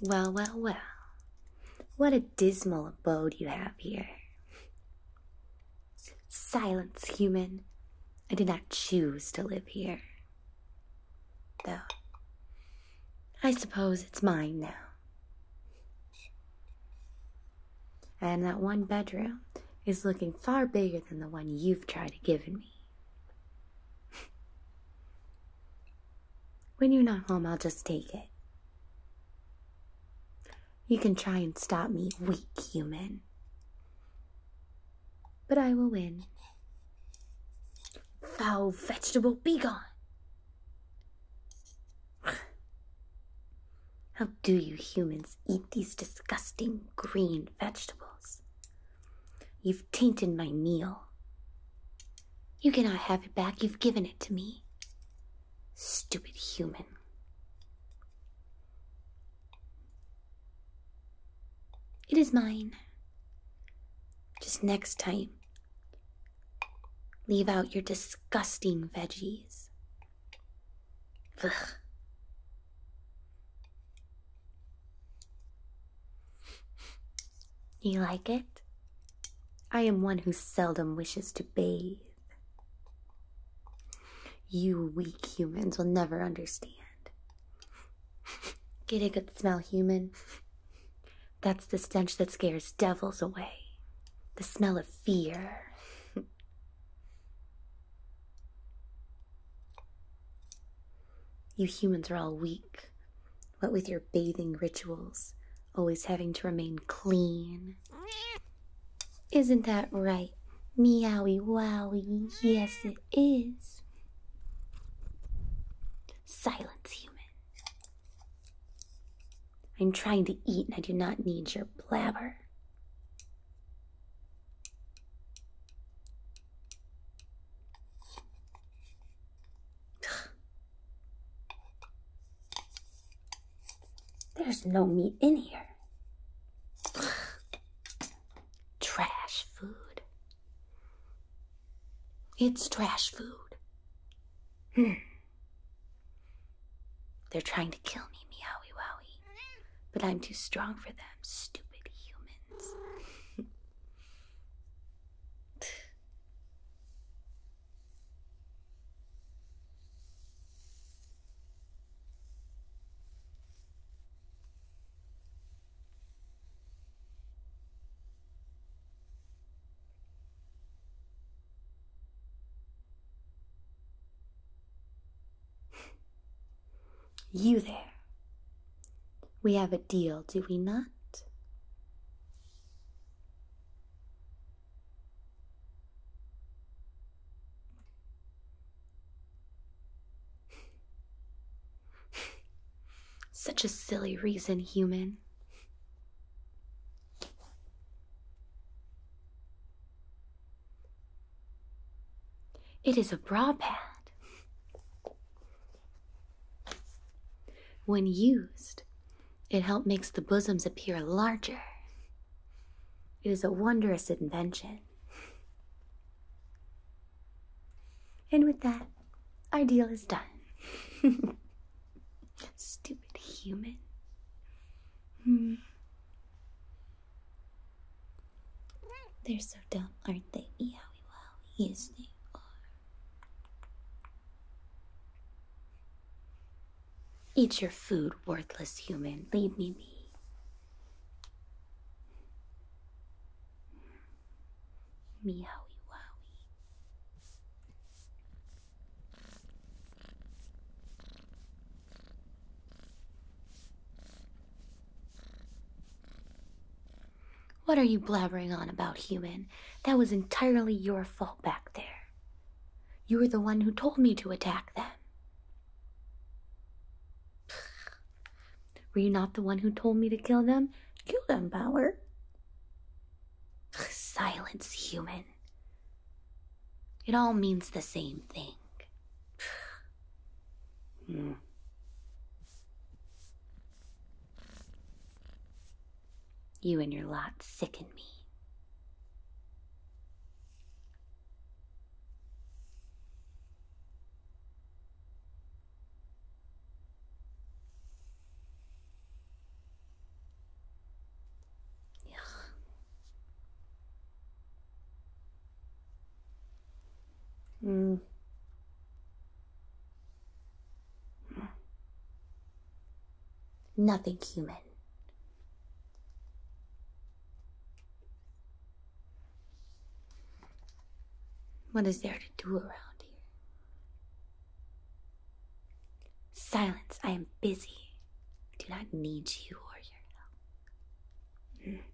Well, well, well. What a dismal abode you have here. Silence, human. I did not choose to live here. Though, I suppose it's mine now. And that one bedroom is looking far bigger than the one you've tried to give me when you're not home, I'll just take it. You can try and stop me, weak human. But I will win. Foul vegetable, be gone! How do you humans eat these disgusting green vegetables? You've tainted my meal. You cannot have it back. You've given it to me. Stupid human. It is mine. Just next time, leave out your disgusting veggies. Ugh. You like it? I am one who seldom wishes to bathe. You weak humans will never understand. Get a good smell, human. That's the stench that scares devils away. The smell of fear. You humans are all weak, what with your bathing rituals, always having to remain clean. Isn't that right? Meowie wowie, yes it is. Silence, human. I'm trying to eat and I do not need your blabber. There's no meat in here. Trash food. It's trash food. Hmm. They're trying to kill me, meowie wowie. But I'm too strong for them, stupid humans you there. We have a deal, do we not? Such a silly reason, human. It is a bra pad. When used, it helps makes the bosoms appear larger. It is a wondrous invention. And with that, our deal is done. Stupid human. Hmm. They're so dumb, aren't they? Yowie wowie. Yes, they are. Eat your food, worthless human. Leave me be. Meowie wowie. What are you blabbering on about, human? That was entirely your fault back there. You were the one who told me to attack them. Were you not the one who told me to kill them? Kill them, Power. Silence, human. It all means the same thing. mm. You and your lot sicken me. Mm. Nothing human. What is there to do around here? Silence, I am busy do not need you or your help.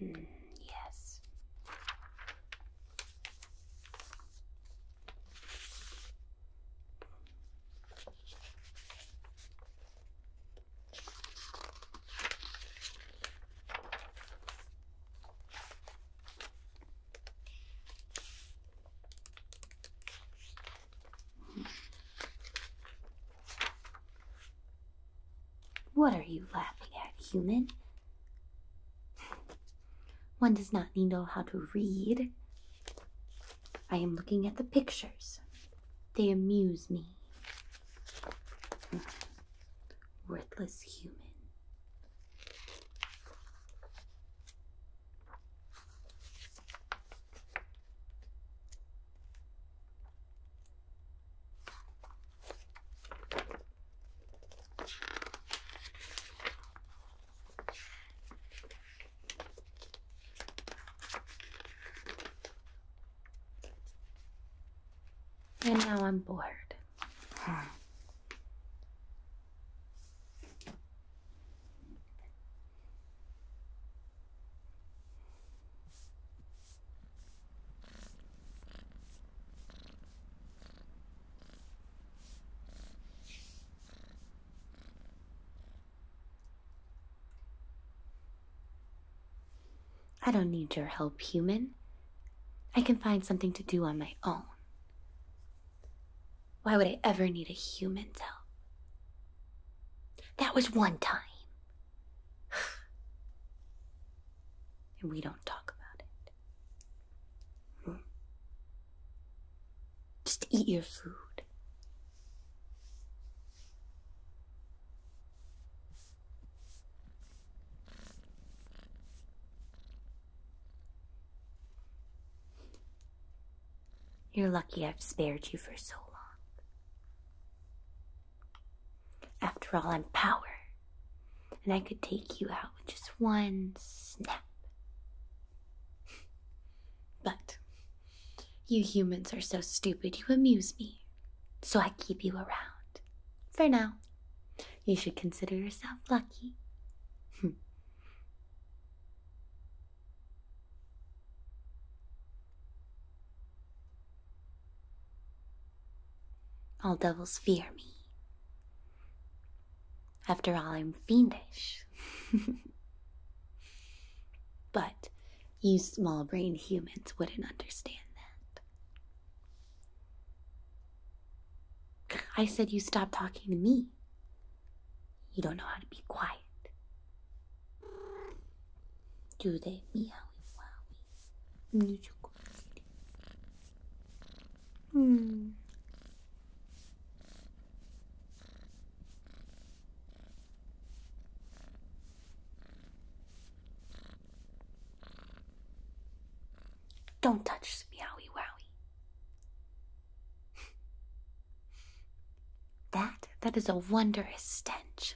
Mm, yes. What are you laughing at, human? One does not need to know how to read. I am looking at the pictures. They amuse me. Worthless human. And now I'm bored. Hmm. I don't need your help, human. I can find something to do on my own. Why would I ever need a human's help? That was one time. and we don't talk about it. Hmm. Just eat your food. You're lucky I've spared you for so long. After all, I'm power, and I could take you out with just one snap. But you humans are so stupid, you amuse me, so I keep you around. For now, you should consider yourself lucky. All devils fear me. After all, I'm fiendish. but you small brained humans wouldn't understand that. I said you stop talking to me. You don't know how to be quiet. Do they meowie wowie? Musical. Hmm. Don't touch the meowie wowie. That that is a wondrous stench.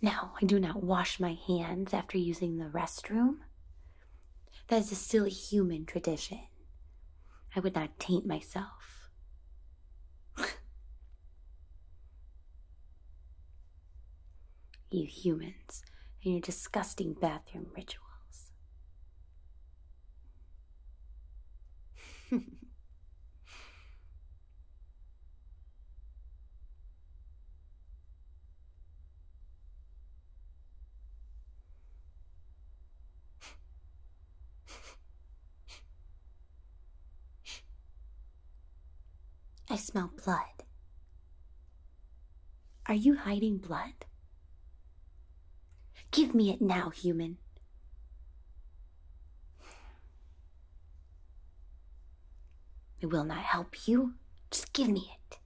now, I do not wash my hands after using the restroom. That is a silly human tradition. I would not taint myself. you humans and your disgusting bathroom rituals. I smell blood. Are you hiding blood? Give me it now, human. It will not help you. Just give me it.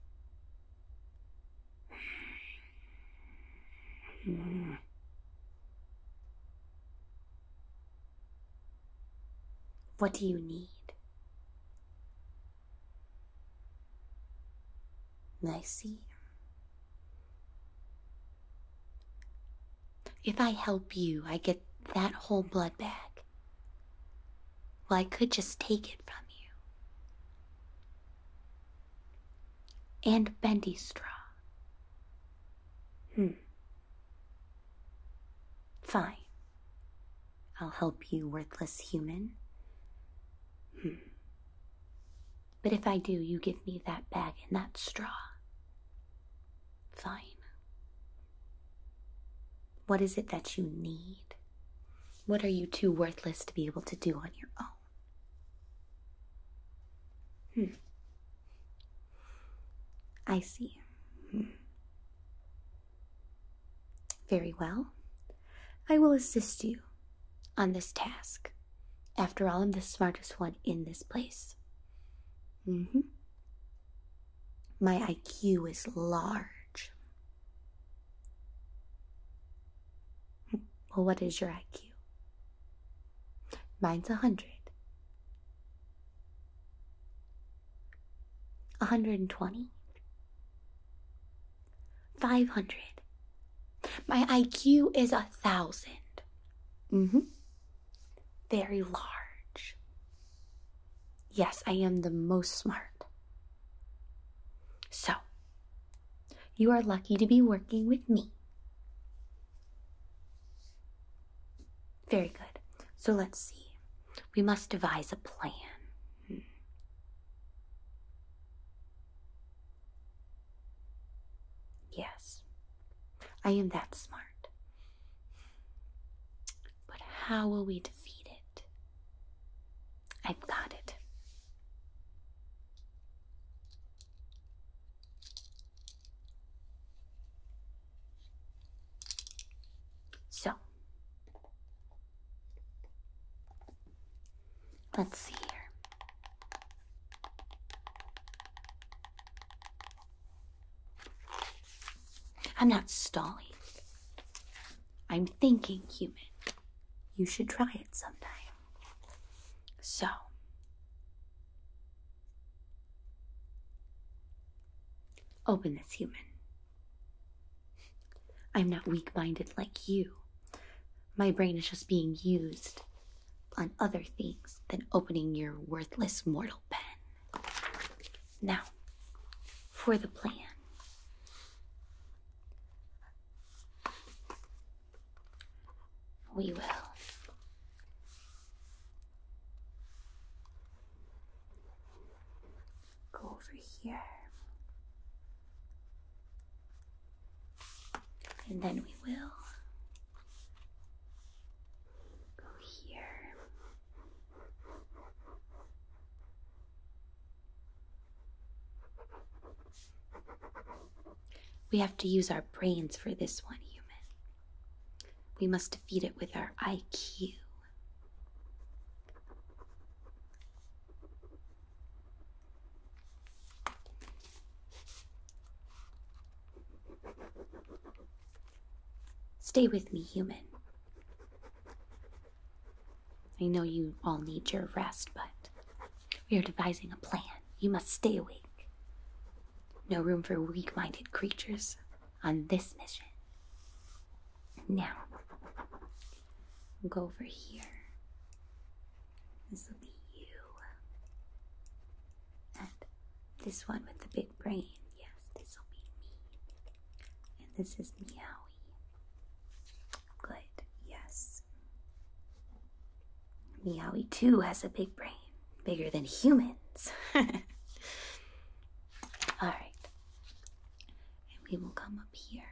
What do you need? Nicey. If I help you, I get that whole blood bag. Well, I could just take it from you. And bendy straw. Hmm. Fine. I'll help you, worthless human. Hmm. But if I do, you give me that bag and that straw. Fine. What is it that you need? What are you too worthless to be able to do on your own? Hmm. I see. Hmm. Very well. I will assist you on this task. After all, I'm the smartest one in this place. Mm hmm. My IQ is large. Well, what is your IQ? Mine's a hundred. 120. 500. My IQ is a thousand. Mm hmm. Very large. Yes, I am the most smart. So, you are lucky to be working with me. Very good. So let's see. We must devise a plan. Hmm. Yes, I am that smart. But how will we defeat it? I've got it. So, Let's see here. I'm not stalling. I'm thinking, human. You should try it sometime. So, open this human. I'm not weak minded like you. My brain is just being used on other things than opening your worthless mortal pen. Now, for the plan. We will. Go over here. And then we will go here. We have to use our brains for this one, human. We must defeat it with our IQ. Stay with me, human. I know you all need your rest, but we are devising a plan. You must stay awake. No room for weak minded creatures on this mission. Now, go over here. This will be you. And this one with the big brain. Yes, this will be me. And this is Meowie. Good, yes. Meowie too has a big brain, bigger than humans. Alright and we will come up here,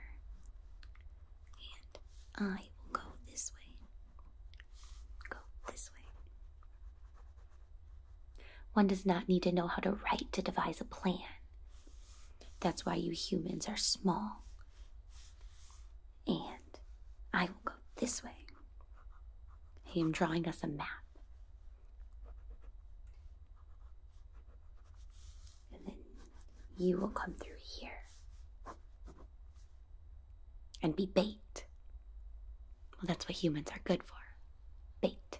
and I will go this way. Go this way. One does not need to know how to write to devise a plan. That's why you humans are small. And I will go this way. I am drawing us a map. And then you will come through here and be bait. Well, that's what humans are good for bait.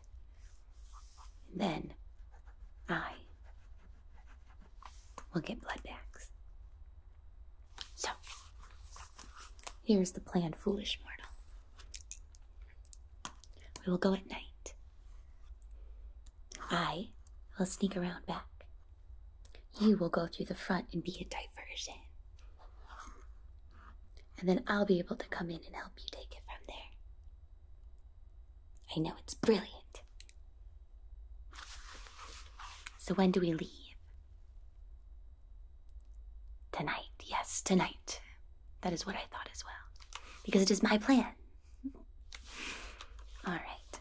And then I will get blood bags. So, here's the plan, foolish mortal. We will go at night. I will sneak around back. You will go through the front and be a diversion. And then I'll be able to come in and help you take it from there. I know it's brilliant. So when do we leave? Tonight, yes, tonight. That is what I thought as well, because it is my plan. All right,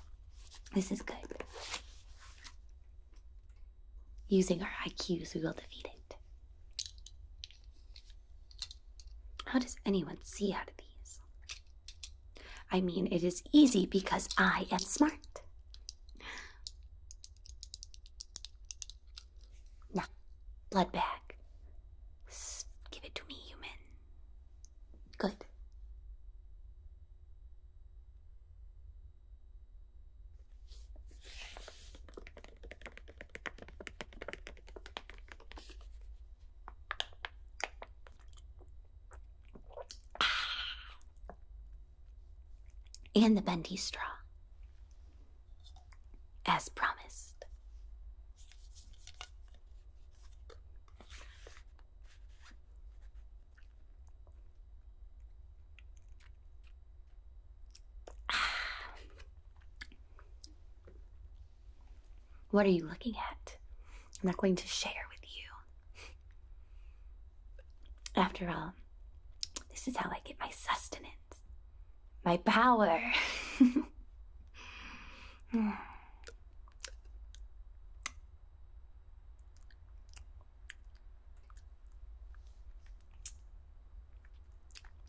this is good. Using our IQs, we will defeat it. How does anyone see out of these? I mean, it is easy because I am smart. No, blood bag. give it to me, human. Good. Ah. and the bendy straw as promised. What are you looking at? I'm not going to share with you. After all, this is how I get my sustenance. My power.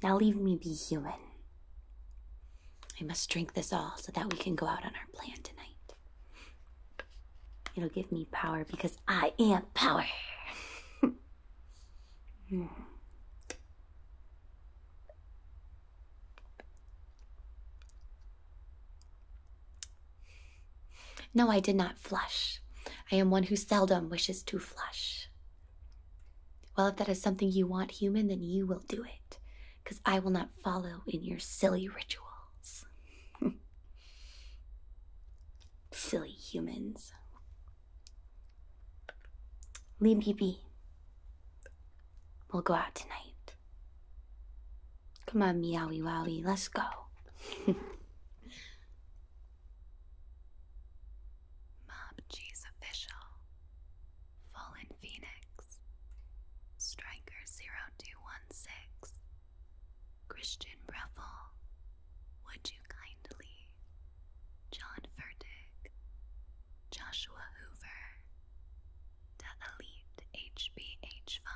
now leave me be human. I must drink this all so that we can go out on our plan tonight. It'll give me power because I am power. Hmm. No, I did not flush. I am one who seldom wishes to flush. Well, if that is something you want, human, then you will do it, because I will not follow in your silly rituals. silly humans. Leave me be. We'll go out tonight. Come on, meowie wowie, let's go. Mob G's official. Fallen Phoenix. Striker 0216. Christian Breffel. Would you kindly, John Furtick, Joshua Hoover, Da Elite HBH5,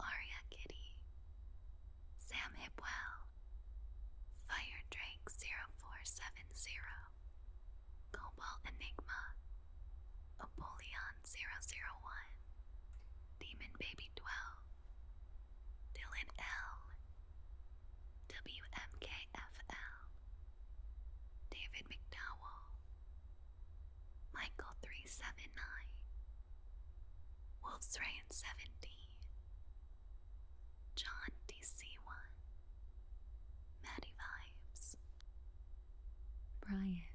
Aria Kitty, Sam Hipwell, Fire Drake 0470, Cobalt Enigma, Apollyon 001, Demon Baby 12, Dylan L. WMKFL. David McDowell. Michael 379. Wolf's Rain 17. John DC1. Maddie Vibes. Brian.